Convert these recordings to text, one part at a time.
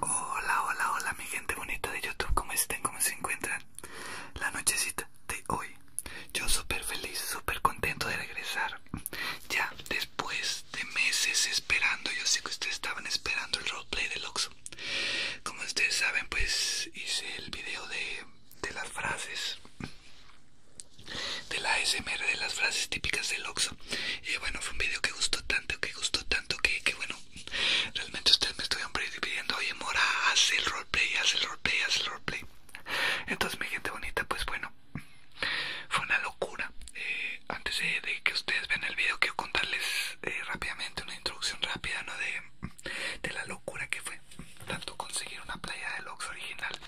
Hola, hola, hola mi gente bonita de YouTube, ¿cómo estén? ¿Cómo se encuentran? La nochecita de hoy. Yo súper feliz, super contento de regresar. Ya después de meses esperando, yo sé que ustedes estaban esperando el roleplay de luxo Como ustedes saben, pues hice el video de las frases de la SMR de las frases típicas del oxo y bueno fue un video que gustó tanto que gustó tanto que, que bueno realmente ustedes me estuvieron pidiendo oye mora hace el roleplay haz el roleplay haz el roleplay entonces mi gente bonita pues bueno fue una locura eh, antes de, que ustedes vean el video quiero contarles eh, rápidamente una introducción rápida no de, de la locura que fue tanto conseguir una playa del Oxxo original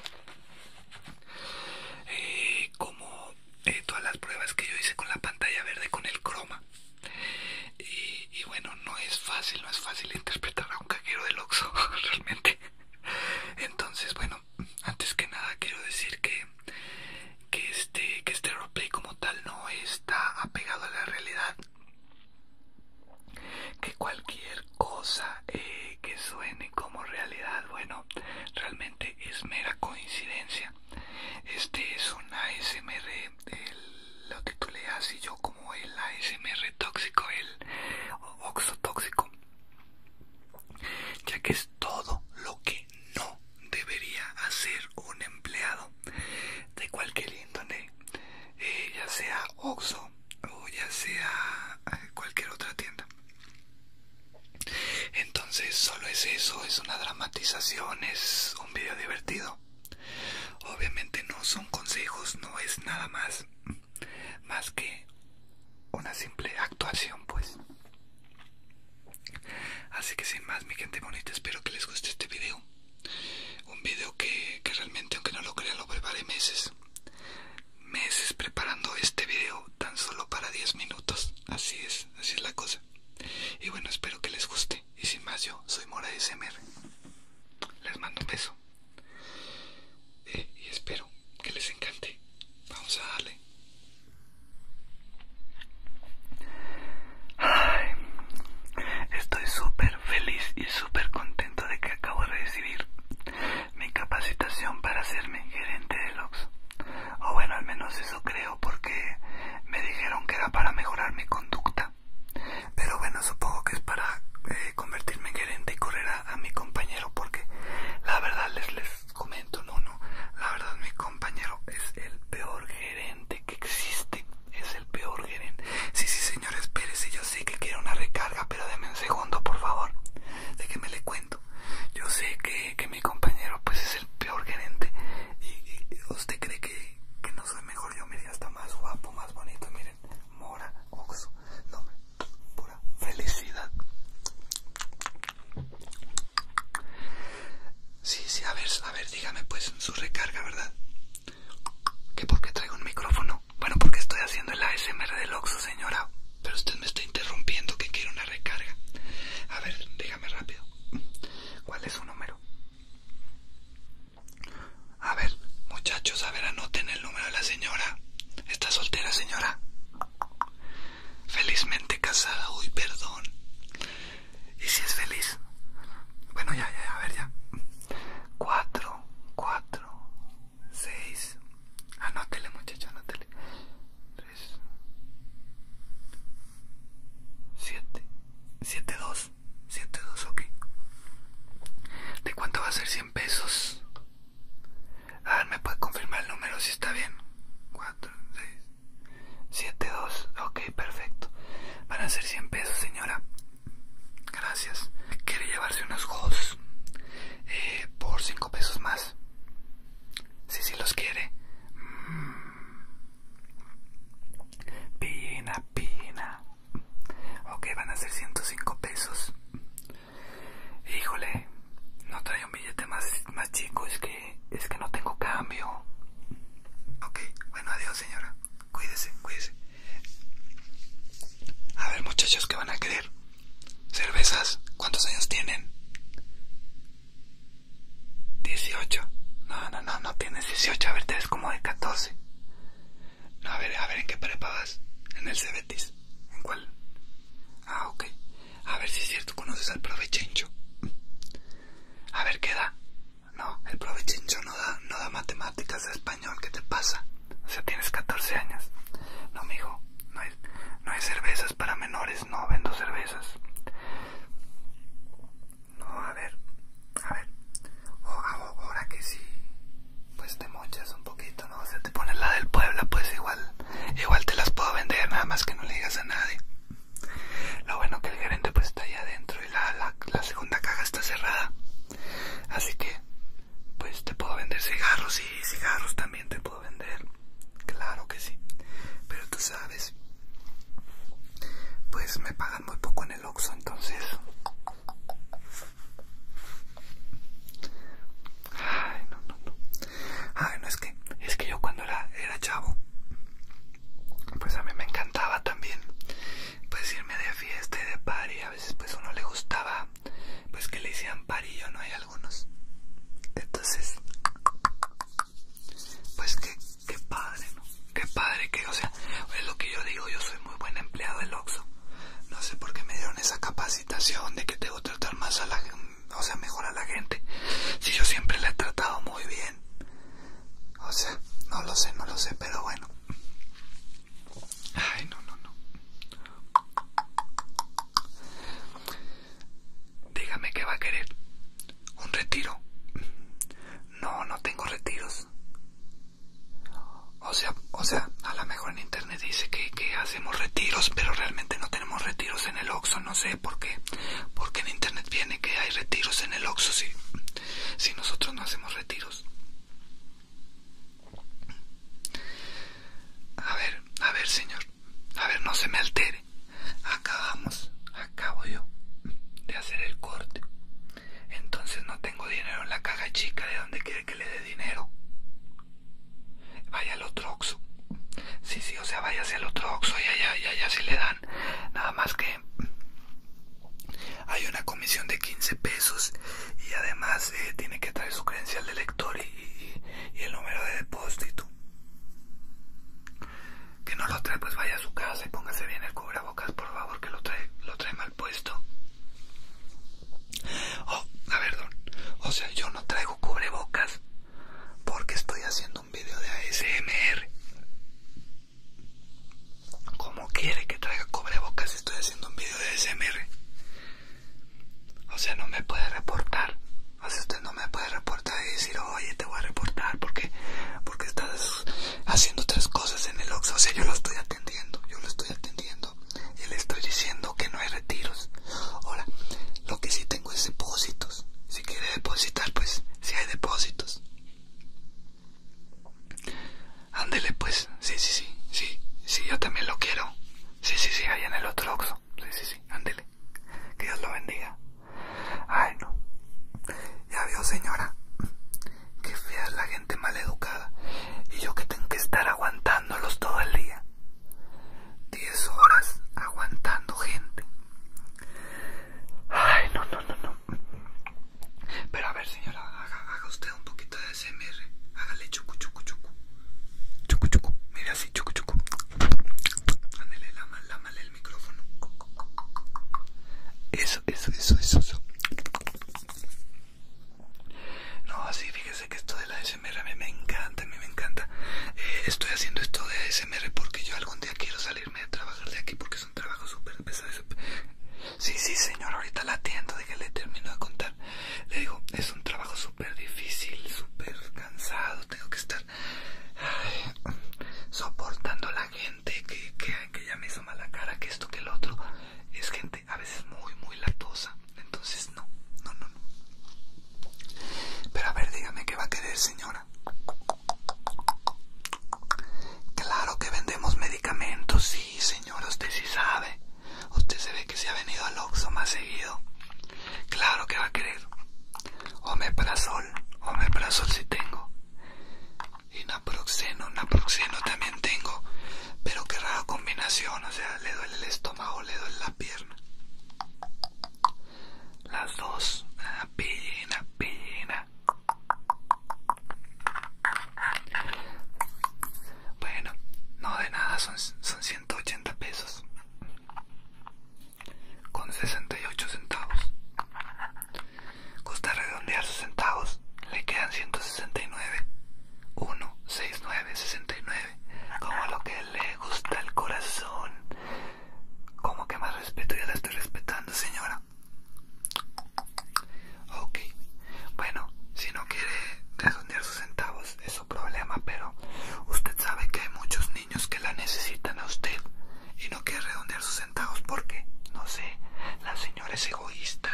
eh, como eh, todas las pruebas que yo hice con la pantalla verde con el croma y, bueno no es fácil no es fácil interpretar a un cajero del oxo realmente entonces bueno antes que nada quiero decir que que este que este roleplay como tal no está apegado a la realidad que cualquier cosa eh, que suene como realidad bueno realmente es mera coincidencia. Este es un ASMR, lo titulé así yo como el ASMR tóxico, el Tóxico ya que es todo lo que no debería hacer un empleado de cualquier índole, eh, ya sea Oxo o ya sea eh, cualquier otra tienda. Entonces solo es eso, es una dramatización, es un video divertido. Obviamente no son consejos, no es nada más, más que una simple actuación pues. Así que sin más mi gente bonita, espero que les guste este video. Un video que, que realmente, aunque no lo crean, lo preparé meses meses preparando este video tan solo para 10 minutos. Así es, así es la cosa. Y bueno, espero que les guste. Y sin más, yo soy Mora de Les mando un beso. Eh, y espero que les encante. Vamos a darle. estoy súper feliz y súper contento de que acabo de recibir mi capacitación para hacerme gerente de Oxxo. O bueno, al menos eso creo porque me dijeron que era para mejorar mi conducta. Pero bueno, supongo que es para eh, convertirme en gerente y correr a, mi compañero porque la verdad les, les comento, no, no, la verdad mi compañero es el peor gerente que existe. Es el peor gerente. Sí, sí, señor, espérese, yo sé que quiere una recarga, pero deme un segundo, por favor. me le cuento. Yo sé que, mi compañero pues es el peor gerente. Y, usted cree que, no soy mejor. Yo, mire, hasta más guapo, más bonito. Miren, mora, oxo. No, pura felicidad. Sí, sí, a ver, a ver, dígame pues su recarga, ¿verdad? Que porque traigo un micrófono bueno, porque estoy haciendo el ASMR del Oxo, señora. Pero usted me está interrumpiendo que quiero una recarga. A ver, dígame rápido. ¿Cuál es su número? A ver, muchachos, a ver, anoten el número de la señora. ¿Está soltera, señora? Felizmente casada. Uy, perdón. ¿Y si es feliz? Bueno, ya, ya, a ver, ya. Cuatro, cuatro, 6 Anótele muchacha, anótele 3 7 7, 2 7, 2, ok ¿De cuánto va a ser 100 pesos? A ver, ¿me puede confirmar el número si está bien? 4, 6 7, 2, ok, perfecto Van a ser 100 pesos, señora Gracias Quiere llevarse unos juegos eh, por 5 pesos más. Si si los quiere. Mm. Pina, pina. Ok, van a ser 105 pesos. Híjole, no trae un billete más, más chico, es que, es que no tengo cambio. Ok, bueno, adiós señora. Cuídese, cuídese. A ver, muchachos, que van a querer? ¿Cervezas? ¿Cuántos años tienen? 18. No, no, no, no tienes 18. A ver, te ves como de 14. No, a ver, a ver, ¿en qué prepa En el Cebetis. ¿En cuál? Ah, ok. A ver si es cierto, conoces al profe chincho. A ver, ¿qué da? No, el profe chincho no da, no da matemáticas, ¿qué te pasa? O sea, tienes 14 años. No, mijo, no hay, no hay cervezas para menores, no vendo cervezas. No, a ver, a ver. ahora que sí, pues te mochas un poquito, ¿no? O sea, te pones la del pueblo, pues igual, igual te las puedo vender, nada más que no le digas a nadie. Lo bueno que el gerente pues está allá adentro y la segunda caja está cerrada. Así que, pues te puedo vender cigarros y cigarros también te puedo vender. Claro que sí. Pero tú sabes, pues me pagan muy poco en el Oxxo, entonces... Ay, no, no, no. Ay, no, es que, es que yo cuando era, chavo, pues a mí me encantaba también, pues irme de fiesta y de party, a veces pues uno le gustaba pues que le hicieron parillo, ¿no? Hay algunos. Entonces, pues que, padre, ¿no? Que padre que, o sea, es lo que yo digo, yo soy muy buen empleado del Oxxo. No sé por qué me dieron esa capacitación de que debo tratar más a la o sea, mejor a la gente. Si yo siempre la he tratado muy bien. O sea, no lo sé, no lo sé, pero bueno. Ay, no, no, no. Dígame qué va a querer. ¿Un retiro? No, no tengo retiros. O sea, o sea, a lo mejor en internet dice que, hacemos retiros, pero realmente no tenemos retiros en el oxo, no sé por qué. Porque en internet viene que hay retiros en el oxo si, si nosotros no hacemos retiros. A ver, a ver, señor. A ver, no se me altere. Acabamos, acabo yo de hacer el corte. Entonces no tengo dinero en la caja chica. ¿De dónde quiere que le dé dinero? Vaya al otro oxo Sí, sí, o sea, hacia el otro oxo y allá, y allá si le dan. Nada más que hay una comisión de 15 pesos y además eh, tiene que traer su credencial de lector y, el número de depósito que no lo trae pues vaya a su casa y póngase bien el cubrebocas por favor que lo trae lo trae mal puesto oh a ver o sea yo no traigo cubrebocas porque estoy haciendo un video de ASMR ¿Cómo quiere que traiga boca si estoy haciendo un video de SMR? O sea, no me puede reportar. O sea, usted no me puede reportar y decir, oye, te voy a reportar porque, porque estás haciendo otras cosas en el Oxxo. O sea, yo lo estoy atendiendo, yo lo estoy atendiendo y le estoy diciendo que no hay retiros. Ahora, lo que sí tengo es depósitos. Si quiere depositar, pues si hay depósitos. Ándele pues, sí, sí, sí, sí, sí, yo también lo quiero. Sí, sí, sí, ahí en el otro oxo. Sí, sí, sí, ándele. Que Dios lo bendiga. Ay, no. Ya veo, señora. Que fea es la gente maleducada. Y yo que tengo que estar aguantándolos todo el día. Diez horas aguantando gente. Ay, no, no, no, no. Pero a ver, señora, haga, usted un poquito de SMR. Hágale chucu, chucu, chucu. Chucu, chucu. Mira así, chucu, chucu. Ándale, el micrófono. Eso, eso, eso, eso, No, así, fíjese que esto de la SMR me encanta, a mí me encanta. Eh, estoy haciendo esto de SMR porque yo algún día quiero salirme de trabajar de aquí porque es un trabajo súper pesado. Sí, sí, señor, ahorita la atiendo, de que le termino de contar. Le digo, es un trabajo súper difícil, súper cansado, tengo que estar soportando a la gente que, que, que ya me hizo mala cara, que esto, que el otro. Es gente a veces muy, muy latosa, entonces no, no, no, no. Pero a ver, dígame qué va a querer, señora. Claro que vendemos medicamentos, sí, sí señor, usted sí sabe. Usted se ve que se ha venido al oxo más seguido. Claro que va a querer. me omeprazol si tengo. Y naproxeno, naproxeno también tengo. Pero qué rara combinación, o sea, le duele el estómago, le duele la pierna. Las dos, apina apina bueno, no de nada, son, 180 pesos con 68 centavos. ¿Gusta redondear sus centavos, le quedan 169. 1, 6, 9, 69. Como lo que le gusta al corazón. Como que más respeto, ya la estoy respetando, señora. Ok, bueno, si no quiere redondear sus centavos es su problema, pero usted sabe que hay muchos niños que la necesitan a usted y no quiere redondear sus centavos porque, no sé, la señora es egoísta.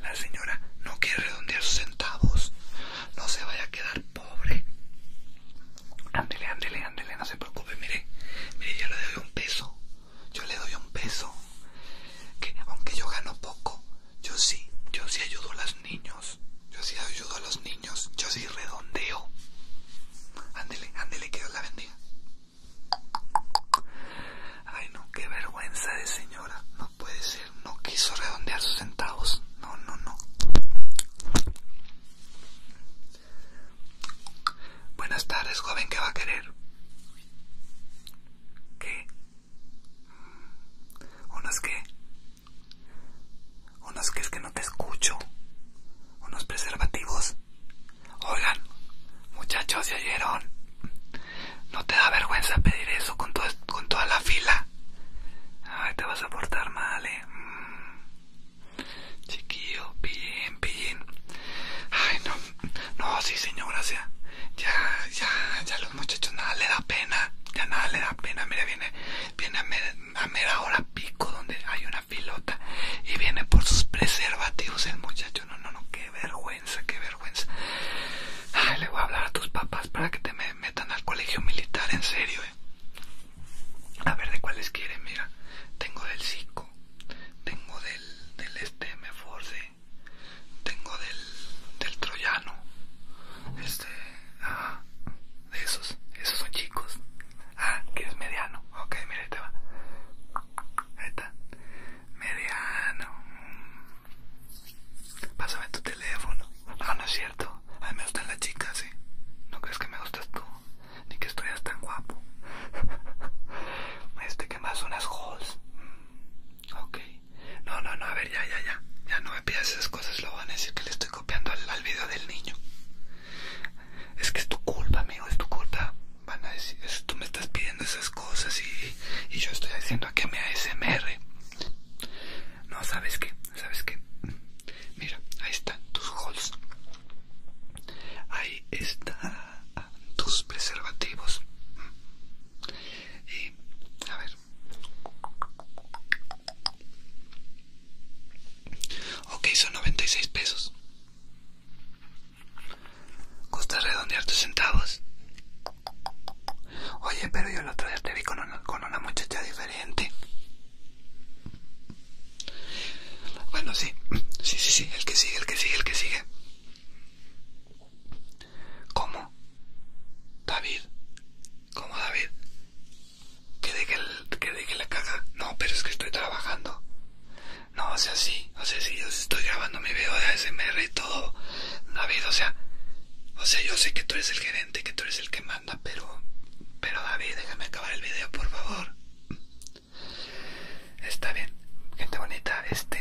La señora no quiere redondear sus centavos. No se vaya a quedar pobre. Ándele, ándele, ándele, no se preocupe, mire. Mire, ya le doy un peso yo le doy un peso. Que aunque yo gano poco, yo sí, yo sí ayudo a los niños. Yo sí ayudo a los niños, yo sí redondeo. Ándele, ándele, que Dios la bendiga. Ay, no, qué vergüenza de señora. No puede ser, no quiso redondear sus centavos. No, no, no. Buenas tardes, joven, ¿qué va a querer? ¿Qué? ¿Unos qué? ¿Unos qué es que no te escucho? ¿Unos preservativos? Oigan, muchachos, ¿ya oyeron? ¿No te da vergüenza pedir eso con, con toda la fila? Ay, te vas a portar mal, eh. Mm. Chiquillo, bien, bien. Ay, no no, sí, señor, o ya, ya, ya los muchachos nada le da pena, ya nada le da pena. Mira, viene, viene a mera, ahora hora pico donde hay una pilota y viene por sus preservativos el muchacho. No, no, no, qué vergüenza, qué vergüenza. Ay, le voy a hablar a tus papás para que te metan al colegio militar, en serio, eh. A ver de cuáles quieren, mira. Tengo del 5 tengo del, este me force, tengo del, del troyano, este, ah, de esos, esos son chicos, ah, que es mediano, ok, mira, ahí te va, ahí está, mediano, pásame tu teléfono, ah, no es cierto, a mí me gustan las chicas, ¿sí? ¿eh? ¿No crees que me gustas tú? ni que estoy tan guapo. Este, que más? Unas halls. Mm, ok. No, no, no, a ver, ya, ya, ya. Ya no me pidas esas cosas, lo van a decir que le estoy copiando al, video del niño. Es que es tu culpa, amigo, es tu culpa. Van a decir, tú me estás pidiendo esas cosas y, y yo estoy haciendo aquí mi ASMR. No, ¿sabes qué? ¿Sabes qué? Mira, ahí están tus holes Ahí está tus preservativos. Y, a ver. Ok, son 96 pesos. costa redondear tus centavos. Oye, pero yo la otro día te vi con una muchacha diferente. Bueno, sí. Sí, sí, sí. El que sigue, el que sigue, el que sigue. ¿Cómo? David. ¿Cómo, David? ¿Que deje, el, que la caga No, pero es que estoy trabajando. No, o sea, sí. O sea, sí, yo estoy grabando mi video de ASMR y todo. David, o sea... O sea, yo sé que tú eres el gerente, que tú eres el que manda, pero... Pero David, déjame acabar el video, por favor. Está bien, gente bonita, este,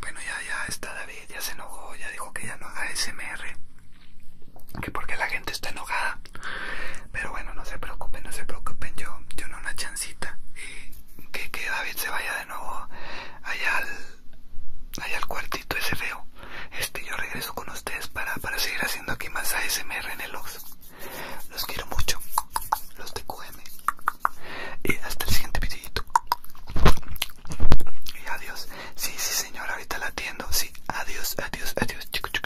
bueno ya, ya está David, ya se enojó, ya dijo que ya no haga SMR, que porque la gente está enojada, pero bueno, no se preocupen, no se preocupen, yo, yo no una chancita, y que, que David se vaya de nuevo allá al, allá al cuartito ese feo, este, yo regreso con ustedes para, para seguir haciendo aquí más SMR en el Oxxo. Los quiero mucho, los de QM. Y hasta el siguiente videito. Y adiós. Sí, sí, señor, ahorita la atiendo. Sí, adiós, adiós, adiós.